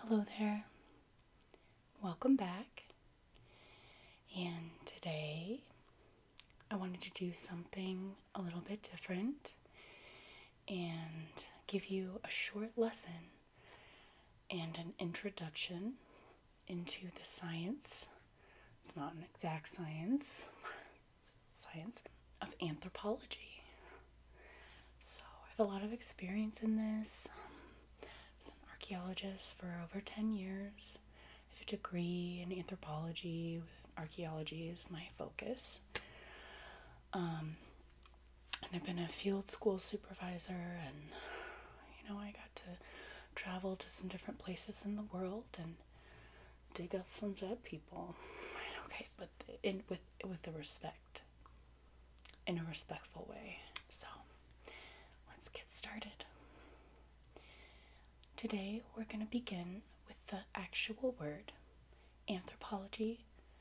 Hello there. Welcome back. And today I wanted to do something a little bit different and give you a short lesson and an introduction into the science. It's not an exact science, science of anthropology. So I have a lot of experience in this. Um, as an archaeologist for over 10 years. I have a degree in anthropology. Archaeology is my focus. Um, and I've been a field school supervisor and you know, I got to travel to some different places in the world and dig up some dead people. Okay, but in with with the respect in a respectful way. So let's get started. Today we're going to begin with the actual word anthropology.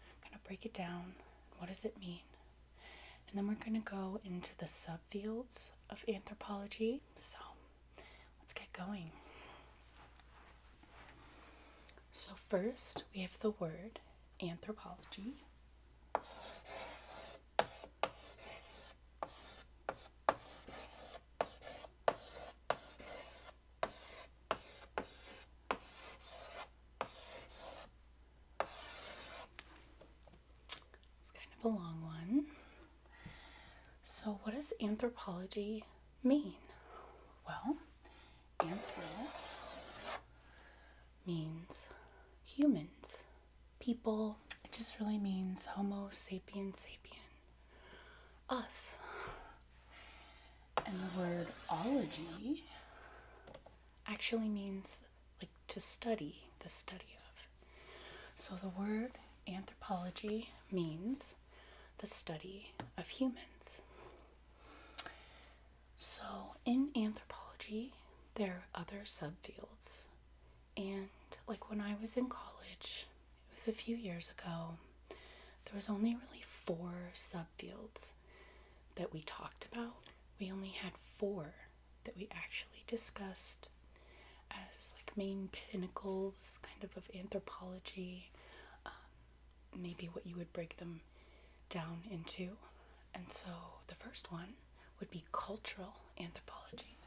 I'm going to break it down. What does it mean? And then we're going to go into the subfields of anthropology. So let's get going. So, first we have the word anthropology. It's kind of a long one. So, what does anthropology mean? Well, anthro means humans, people. It just really means Homo sapiens sapien, us. And the word ology actually means like to study, the study of. So the word anthropology means the study of humans. So, in anthropology, there are other subfields. And, like, when I was in college, it was a few years ago, there was only really four subfields that we talked about. We only had four that we actually discussed as like main pinnacles kind of of anthropology um, maybe what you would break them down into. And so the first one would be cultural anthropology.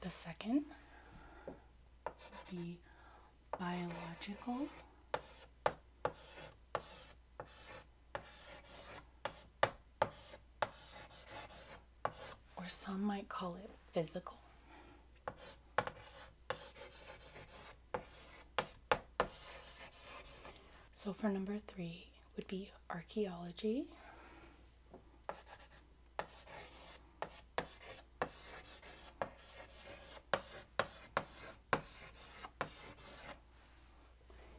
The second would be biological or some might call it physical. So, for number three, would be archaeology.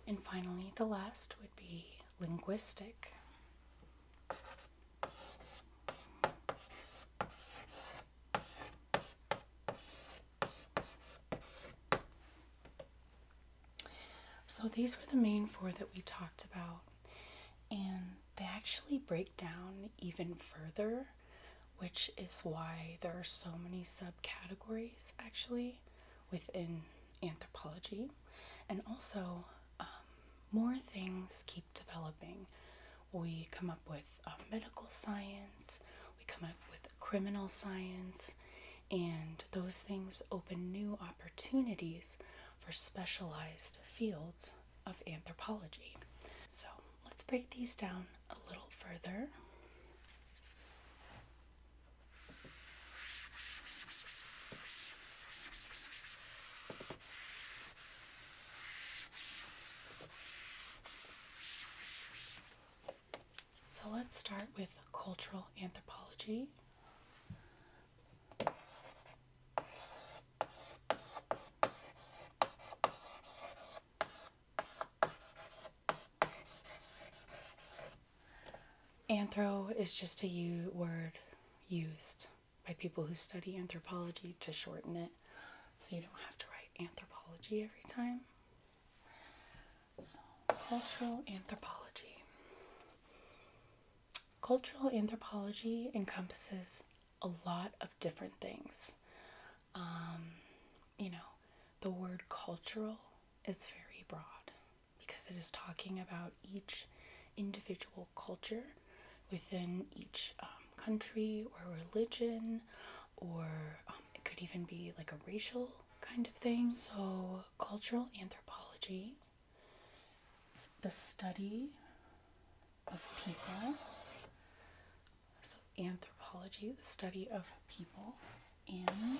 And finally, the last would be linguistic. So these were the main four that we talked about, and they actually break down even further, which is why there are so many subcategories actually within anthropology, and also um, more things keep developing. We come up with um, medical science, we come up with criminal science, and those things open new opportunities for specialized fields of anthropology. So let's break these down a little further. So let's start with cultural anthropology. Anthro is just a u- word used by people who study anthropology to shorten it so you don't have to write anthropology every time. So, cultural anthropology. Cultural anthropology encompasses a lot of different things. Um, you know, the word cultural is very broad because it is talking about each individual culture within each um, country or religion, or um, it could even be like a racial kind of thing. So, cultural anthropology it's the study of people. So, anthropology, the study of people and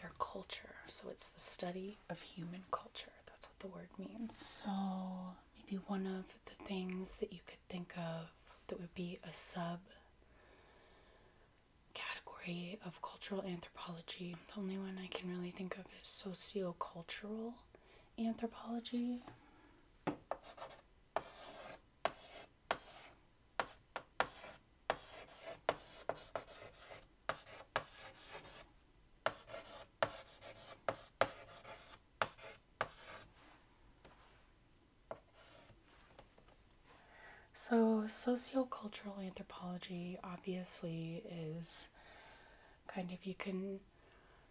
their culture. So, it's the study of human culture. That's what the word means. So, maybe one of the things that you could think of that would be a sub category of cultural anthropology. The only one I can really think of is sociocultural anthropology. So, sociocultural anthropology obviously is kind of, you can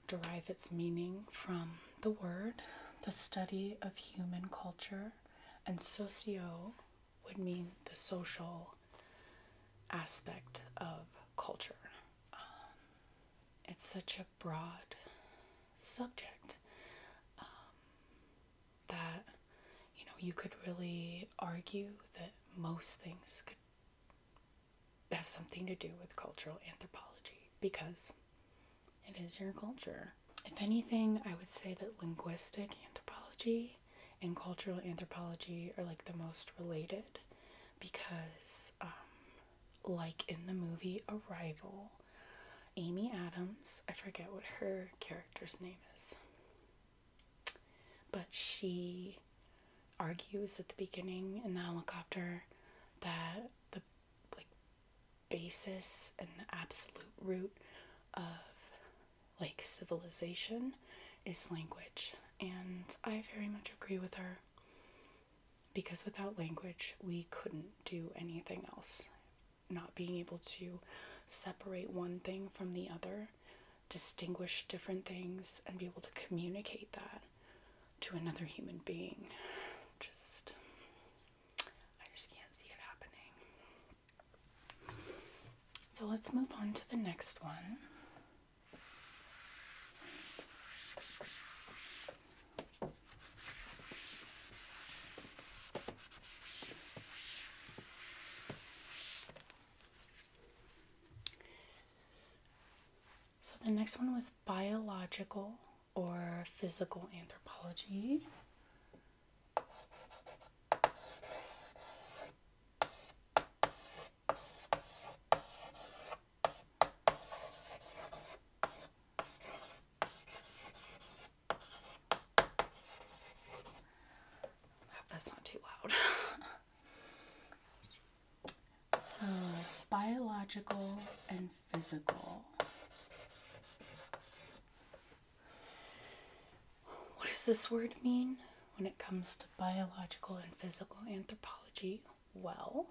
derive its meaning from the word, the study of human culture, and socio would mean the social aspect of culture. Um, it's such a broad subject um, that you know you could really argue that most things could have something to do with cultural anthropology because it is your culture. If anything, I would say that linguistic anthropology and cultural anthropology are like the most related because, um, like in the movie Arrival, Amy Adams, I forget what her character's name is, but she argues at the beginning in the helicopter that the like basis and the absolute root of like civilization is language. And I very much agree with her because without language, we couldn't do anything else. Not being able to separate one thing from the other, distinguish different things, and be able to communicate that to another human being. Just, I just can't see it happening. So let's move on to the next one. So the next one was biological or physical anthropology hope that's not too loud. so, biological and physical. What does this word mean when it comes to biological and physical anthropology? Well,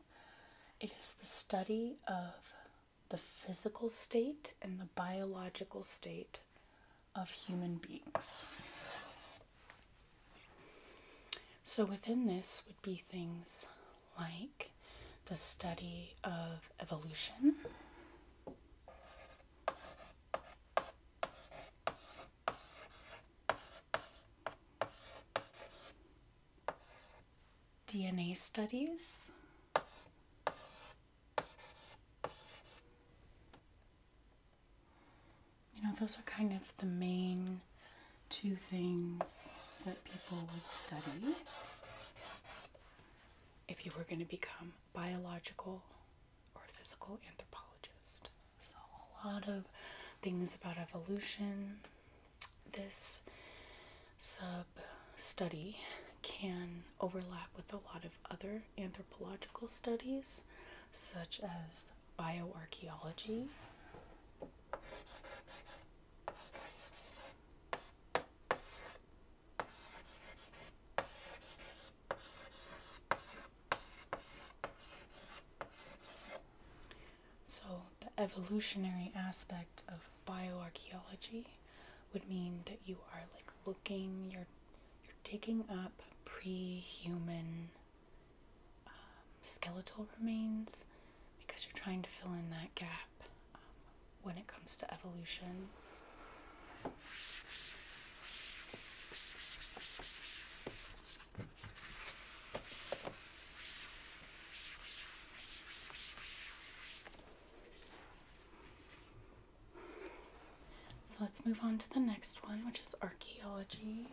it is the study of the physical state and the biological state of human beings. So, within this would be things like the study of evolution, DNA studies. You know, those are kind of the main two things that people would study if you were going to become biological or physical anthropologist. So, a lot of things about evolution. This sub study can overlap with a lot of other anthropological studies, such as bioarchaeology. So, the evolutionary aspect of bioarchaeology would mean that you are like looking, you're, you're digging up pre-human um, skeletal remains because you're trying to fill in that gap um, when it comes to evolution. So let's move on to the next one, which is archaeology.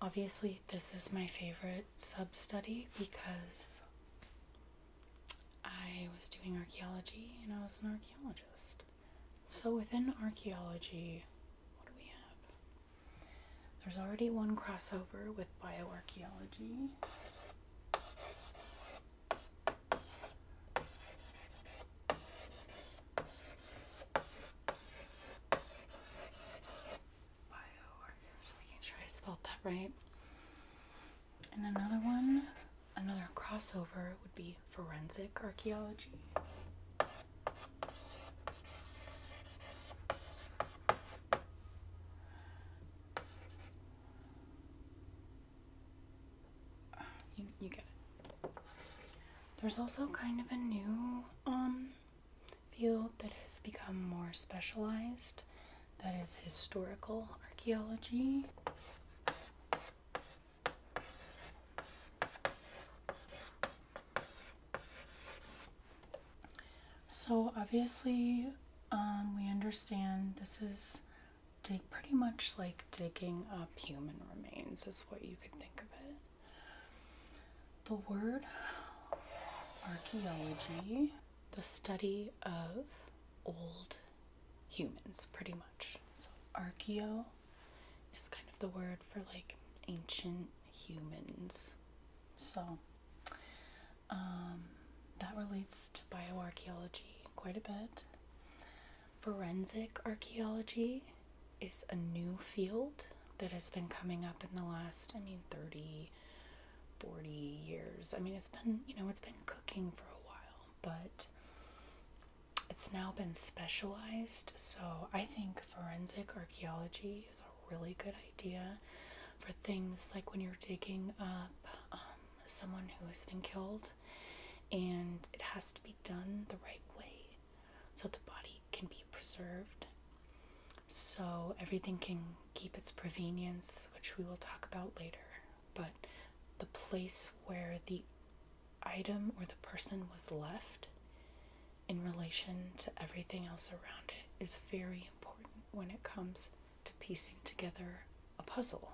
Obviously, this is my favorite sub study because I was doing archaeology and I was an archaeologist. So, within archaeology, what do we have? There's already one crossover with bioarchaeology. Bioworkers, making sure I spelled that right. And another one, another crossover would be forensic archaeology. You, you get it. There's also kind of a new um, field that has become more specialized that is historical archaeology. So, obviously, um, we understand this is dig- pretty much like digging up human remains, is what you could think of it. The word archaeology, the study of old humans, pretty much. So, archaeo is kind of the word for like ancient humans. So, um, that relates to bioarchaeology quite a bit. Forensic archaeology is a new field that has been coming up in the last, I mean, 30, 40 years. I mean, it's been, you know, it's been cooking for a while, but it's now been specialized. So I think forensic archaeology is a really good idea for things like when you're digging up um, someone who has been killed and it has to be done the right way so the body can be preserved. So everything can keep its provenience, which we will talk about later. But the place where the item or the person was left in relation to everything else around it is very important when it comes to piecing together a puzzle,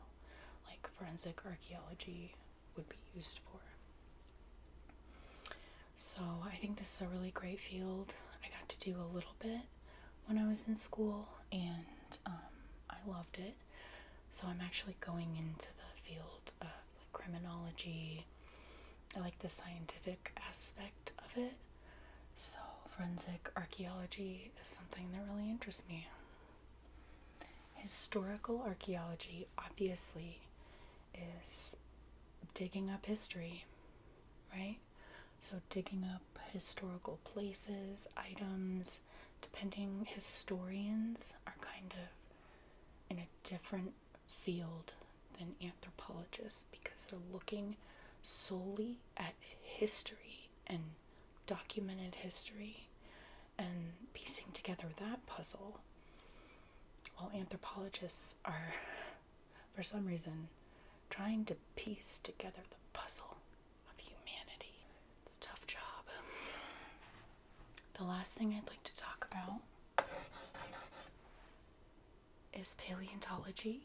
like forensic archaeology would be used for. So I think this is a really great field. I got to do a little bit when I was in school and um, I loved it. So I'm actually going into the field of criminology. I like the scientific aspect of it. So forensic archaeology is something that really interests me. Historical archaeology obviously is digging up history, right? So, digging up historical places, items, depending, historians are kind of in a different field than anthropologists because they're looking solely at history and documented history and piecing together that puzzle while anthropologists are, for some reason, trying to piece together the puzzle of humanity. It's a tough job. The last thing I'd like to talk about is paleontology.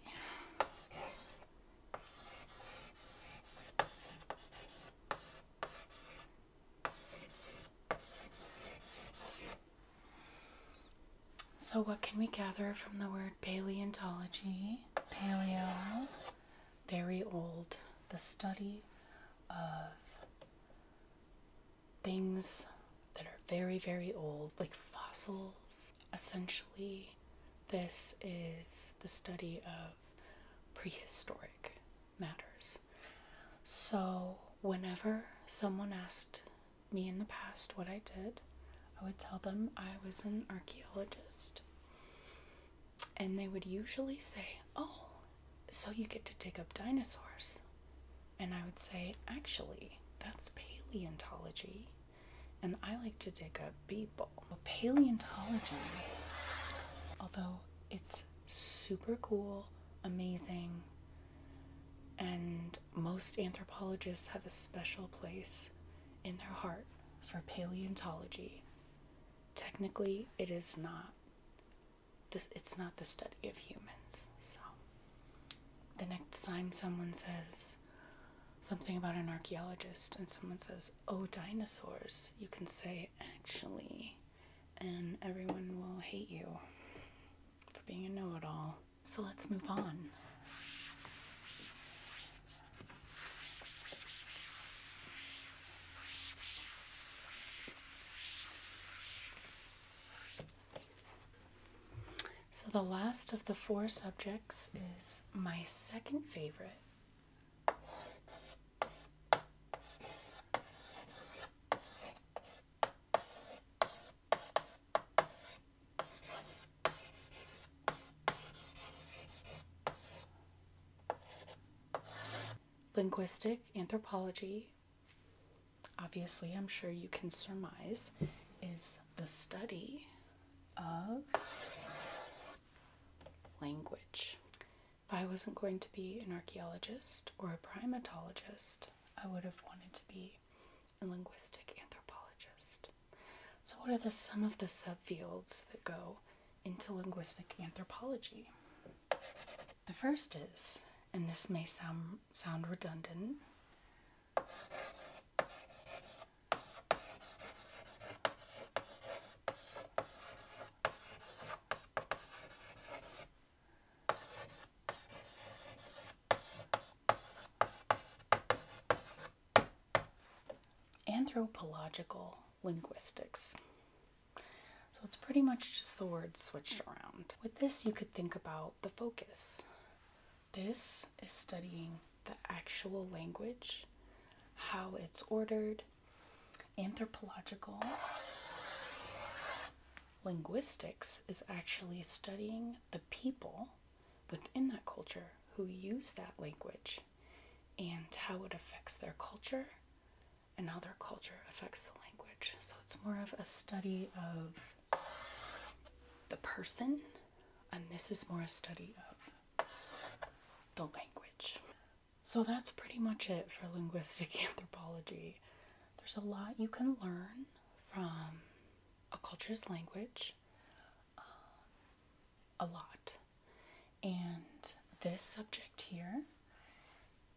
So, what can we gather from the word paleontology? Paleo, very old, the study of things that are very, very old, like fossils. Essentially, this is the study of prehistoric matters. So, whenever someone asked me in the past what I did, I would tell them I was an archaeologist. And they would usually say, Oh, so you get to dig up dinosaurs. And I would say, Actually, that's paleontology. And I like to dig up people. Paleontology, although it's super cool, amazing, and most anthropologists have a special place in their heart for paleontology. Technically, it is not this it's not the study of humans. So the next time someone says something about an archaeologist and someone says, "Oh, dinosaurs," you can say, "Actually," and everyone will hate you for being a know it all. So let's move on. So, the last of the four subjects is my second favorite. Linguistic anthropology, obviously, I'm sure you can surmise, is the study of language. If I wasn't going to be an archaeologist or a primatologist, I would have wanted to be a linguistic anthropologist. So, what are the, some of the subfields that go into linguistic anthropology? The first is, and this may sound, sound redundant, Anthropological linguistics. So it's pretty much just the words switched around. With this, you could think about the focus. This is studying the actual language, how it's ordered, anthropological linguistics is actually studying the people within that culture who use that language and how it affects their culture and how their culture affects the language. So it's more of a study of the person, and this is more a study of the language. So that's pretty much it for linguistic anthropology there's a lot you can learn from a culture's language. Uh, a lot. And this subject here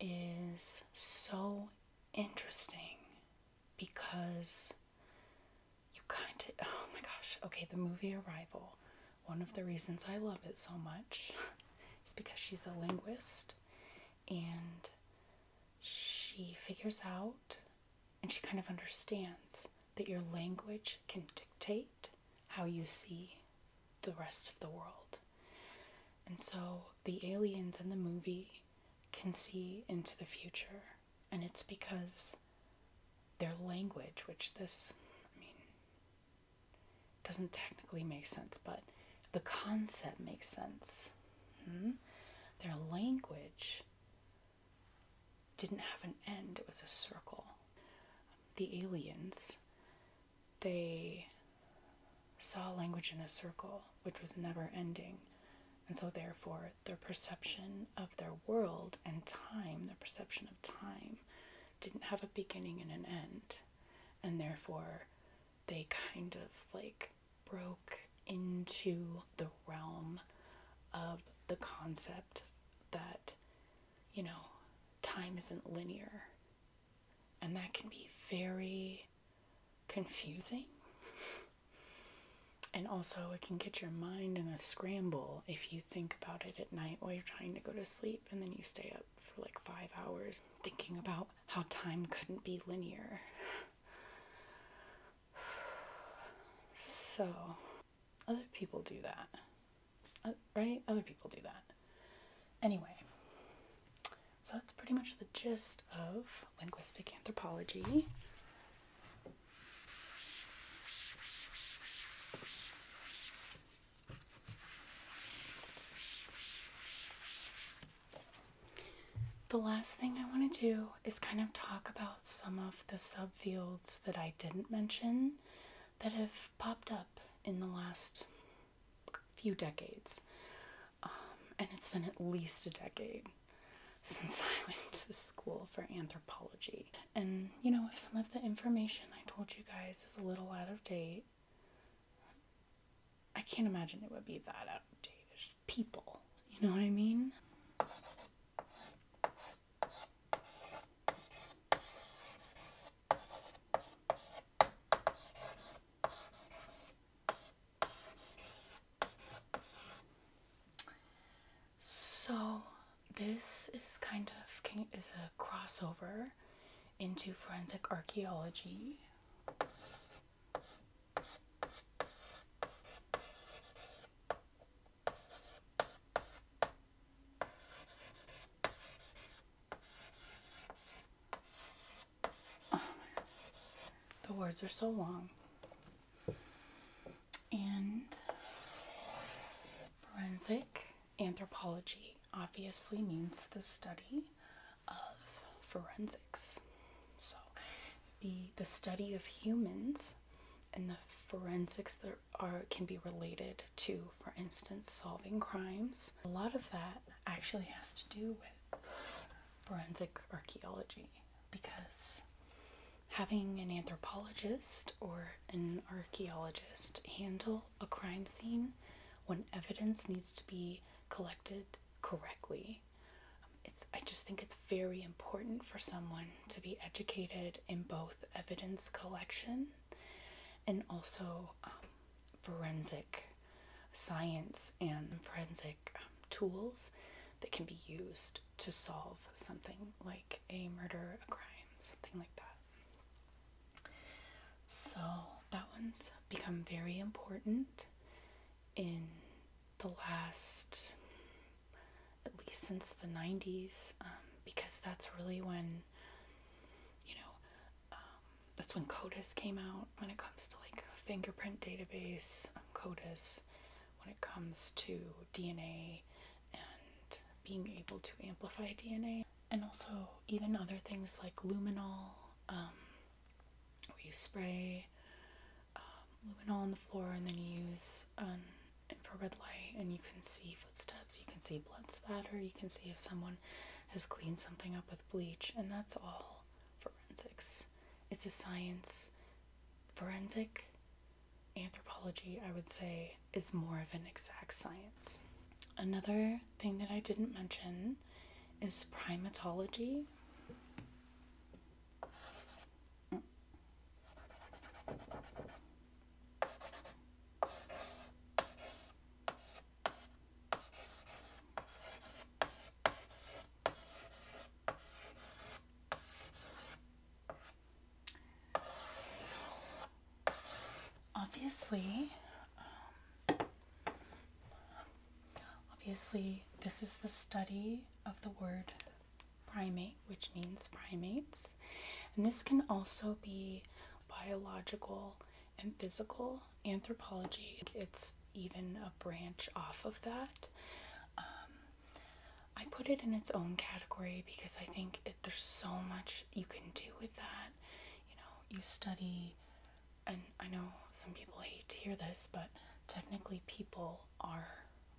is so interesting because you kind of, oh my gosh, okay, the movie Arrival, one of the reasons I love it so much is because she's a linguist and she figures out and she kind of understands that your language can dictate how you see the rest of the world. And so the aliens in the movie can see into the future, and it's because their language, which this, I mean, doesn't technically make sense, but the concept makes sense Hmm? Their language didn't have an end, it was a circle. The aliens, they saw language in a circle, which was never ending. And so, therefore, their perception of their world and time, their perception of time, didn't have a beginning and an end. And therefore, they kind of like broke into the realm of the concept that, you know, time isn't linear. And that can be very confusing. and also, it can get your mind in a scramble if you think about it at night while you're trying to go to sleep and then you stay up for like five hours thinking about how time couldn't be linear. So, other people do that. Uh, right? Other people do that. Anyway, so that's pretty much the gist of linguistic anthropology. The last thing I want to do is kind of talk about some of the subfields that I didn't mention that have popped up in the last few decades. Um, and it's been at least a decade since I went to school for anthropology. And you know, if some of the information I told you guys is a little out of date, I can't imagine it would be that outdated. There's people, you know what I mean? So this is kind of is a crossover into forensic archaeology the words are so long. And forensic anthropology obviously means the study of forensics. So, be the study of humans and the forensics that are can be related to, for instance, solving crimes. A lot of that actually has to do with forensic archaeology because having an anthropologist or an archaeologist handle a crime scene when evidence needs to be collected correctly it's I just think it's very important for someone to be educated in both evidence collection and also um, forensic science and forensic um, tools that can be used to solve something like a murder, a crime, something like that. So that one's become very important in the last, at least since the 90s, um, because that's really when, you know, um, that's when CODIS came out when it comes to like fingerprint database, um, CODIS, when it comes to DNA and being able to amplify DNA, and also even other things like luminol. Um, where you spray um, luminol on the floor and then you use infrared light and you can see footsteps, you can see blood spatter, you can see if someone has cleaned something up with bleach, and that's all forensics. It's a science. Forensic anthropology, I would say, is more of an exact science. Another thing that I didn't mention is primatology obviously, um, obviously, this is the study of the word primate, which means primates. And this can also be biological and physical anthropology. It's even a branch off of that. Um, I put it in its own category because I think there's so much you can do with that. You know, you study and I know some people hate to hear this, but technically people are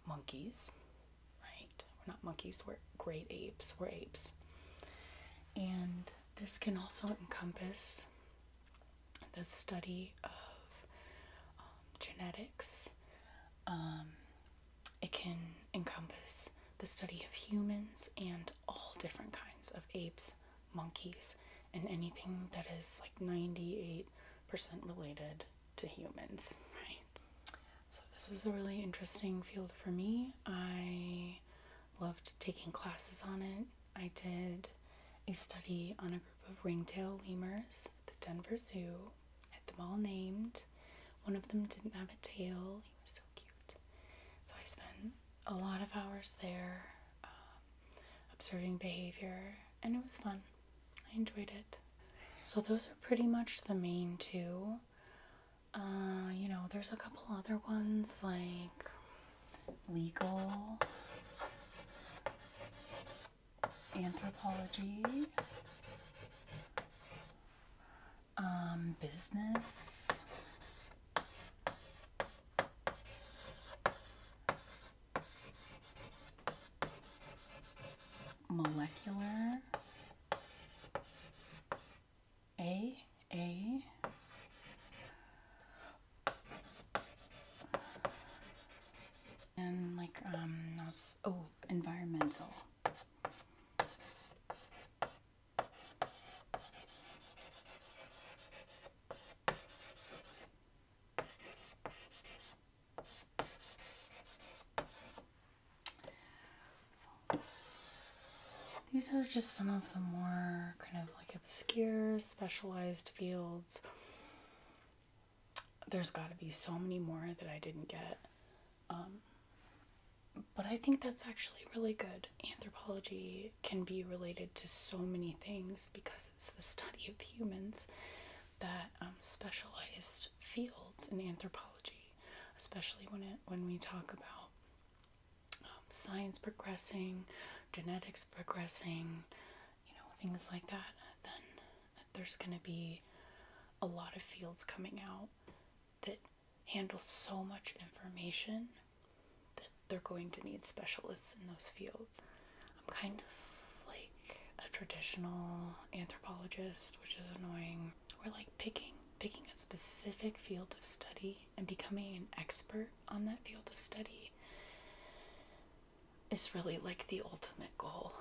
monkeys, right? We're not monkeys, we're great apes, we're apes. And this can also encompass the study of um, genetics. Um, it can encompass the study of humans and all different kinds of apes, monkeys, and anything that is like 98 Percent related to humans, right? So, this was a really interesting field for me. I loved taking classes on it. I did a study on a group of ringtail lemurs at the Denver Zoo, had them all named. One of them didn't have a tail, he was so cute. So, I spent a lot of hours there um, observing behavior, and it was fun. I enjoyed it. So those are pretty much the main two. Uh, you know, there's a couple other ones like legal, anthropology, um, business, molecular a a and like um oh environmental so, these are just some of the more kind of like obscure, specialized fields. There's got to be so many more that I didn't get. Um, but I think that's actually really good. Anthropology can be related to so many things because it's the study of humans that um, specialized fields in anthropology, especially when it when we talk about um, science progressing, genetics progressing, you know things like that. Then there's going to be a lot of fields coming out that handle so much information that they're going to need specialists in those fields. I'm kind of like a traditional anthropologist, which is annoying. We're like picking picking a specific field of study and becoming an expert on that field of study is really like the ultimate goal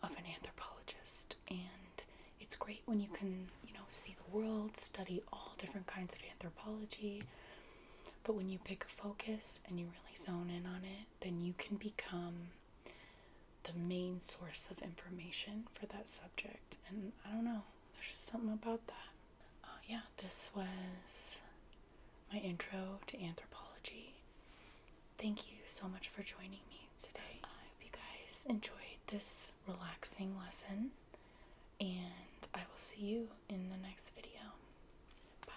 of an anthropologist and it's great when you can you know see the world study all different kinds of anthropology but when you pick a focus and you really zone in on it then you can become the main source of information for that subject. And I don't know, there's just something about that. Uh, yeah, this was my intro to anthropology. Thank you so much for joining me today. I hope you guys enjoyed this relaxing lesson, and I will see you in the next video. Bye.